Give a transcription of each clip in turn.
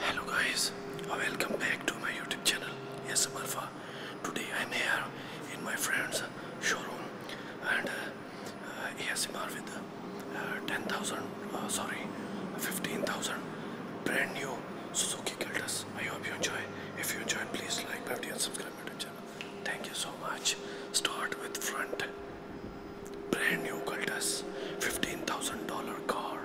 Hello guys, welcome back to my YouTube channel Yes Alpha. Today I'm here in my friend's showroom and uh, uh, ASMR with 10,000, uh, sorry 15,000 brand new Suzuki Kiltus. I hope you enjoy. If you enjoy, please like, comment, and subscribe to the channel. Thank you so much. Start with front brand new Cultus $15,000 car.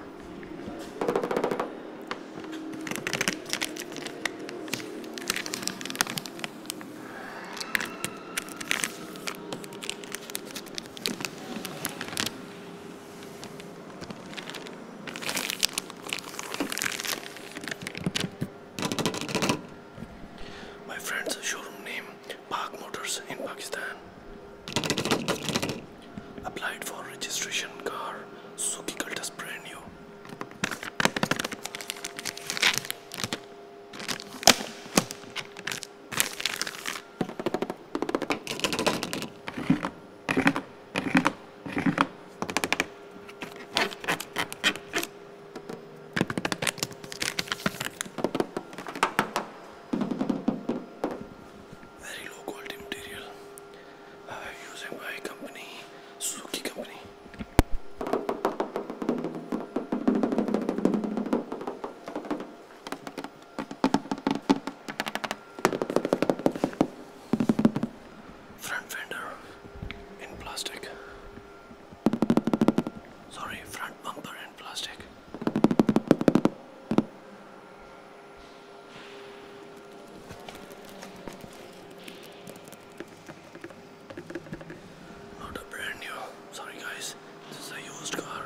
My friend's showroom name Park Motors in Pakistan. Applied for registration car Suki Cultus brand new very low quality material uh, using by company Suzuki company front fender in plastic sorry front bumper in plastic not a brand new. Sorry guys, this is a used car.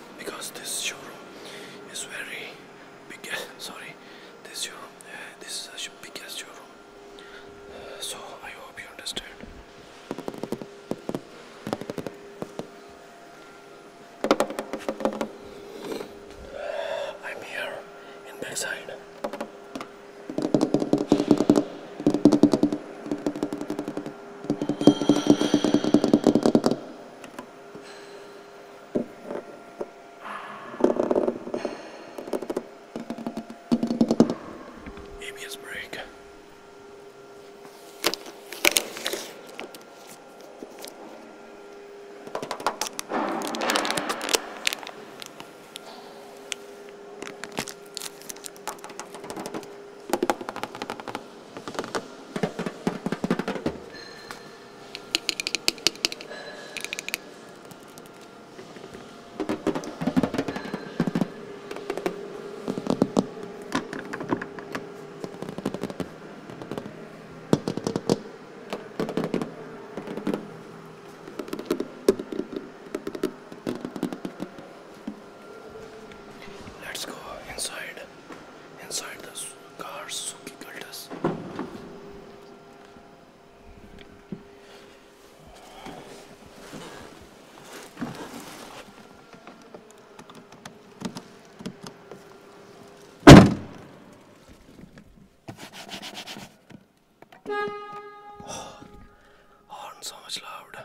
because this showroom is very big. Sorry, this showroom, uh, this is uh, a biggest showroom. Uh, so I hope you understand. Uh, I'm here in backside. ABS brake. Let's go inside him inside the car. Suki killed us. horn oh, so much loud.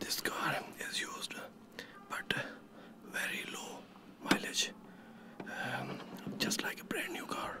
This car is used but very low mileage um, just like a brand new car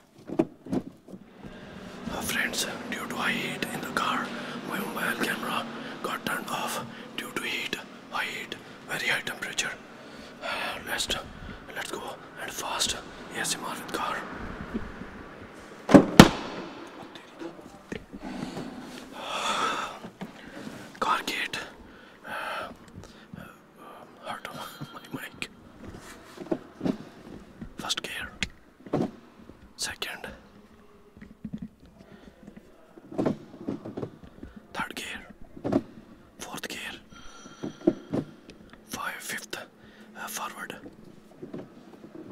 Uh, friends, due to heat in the car, my mobile camera got turned off due to heat, high heat, very high temperature. Uh, let's, go and fast ASMR with car. Uh, car gate. Uh, um, hard on my mic. First gear, second, third gear, fourth gear, five, fifth uh, forward,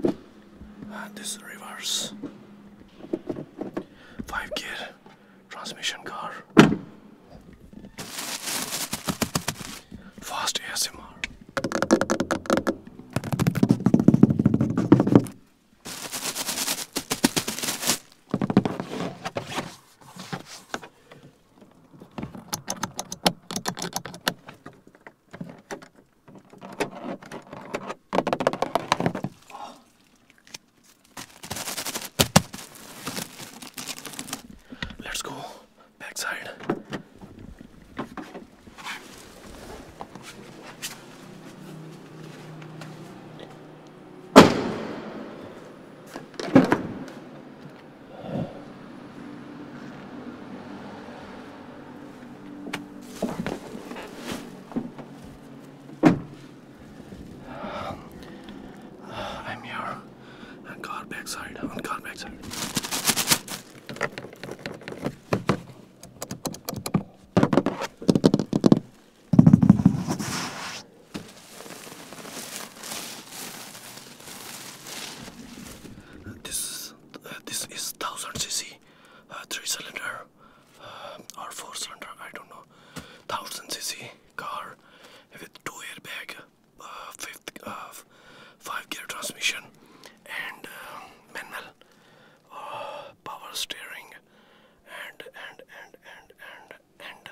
and this reverse, five gear transmission car. Fast ASMR. Let's go backside. Um, uh, I'm your and car backside, on car backside. This is uh, this is 1000 cc, uh, three cylinder uh, or four cylinder, I don't know. 1000 cc car with two airbag fifth uh, five gear transmission and uh, manual uh, power steering and and and and and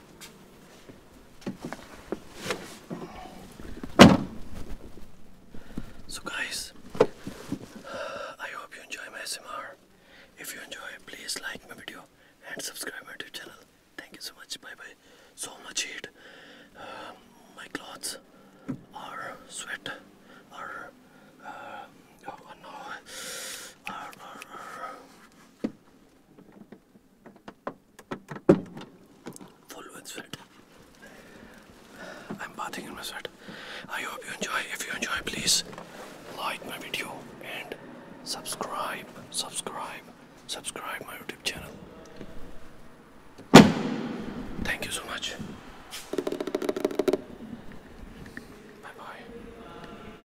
So guys, I hope you enjoy my SMR. If you enjoy, please like my video and subscribe my YouTube channel. Thank you so much. Bye bye. So much heat. Um, my clothes are sweat are uh, oh, no, are Full with sweat. I'm bathing in my sweat. I hope you enjoy. If you enjoy, please like my video and subscribe, subscribe, subscribe my YouTube channel. Thank you so much. Bye bye.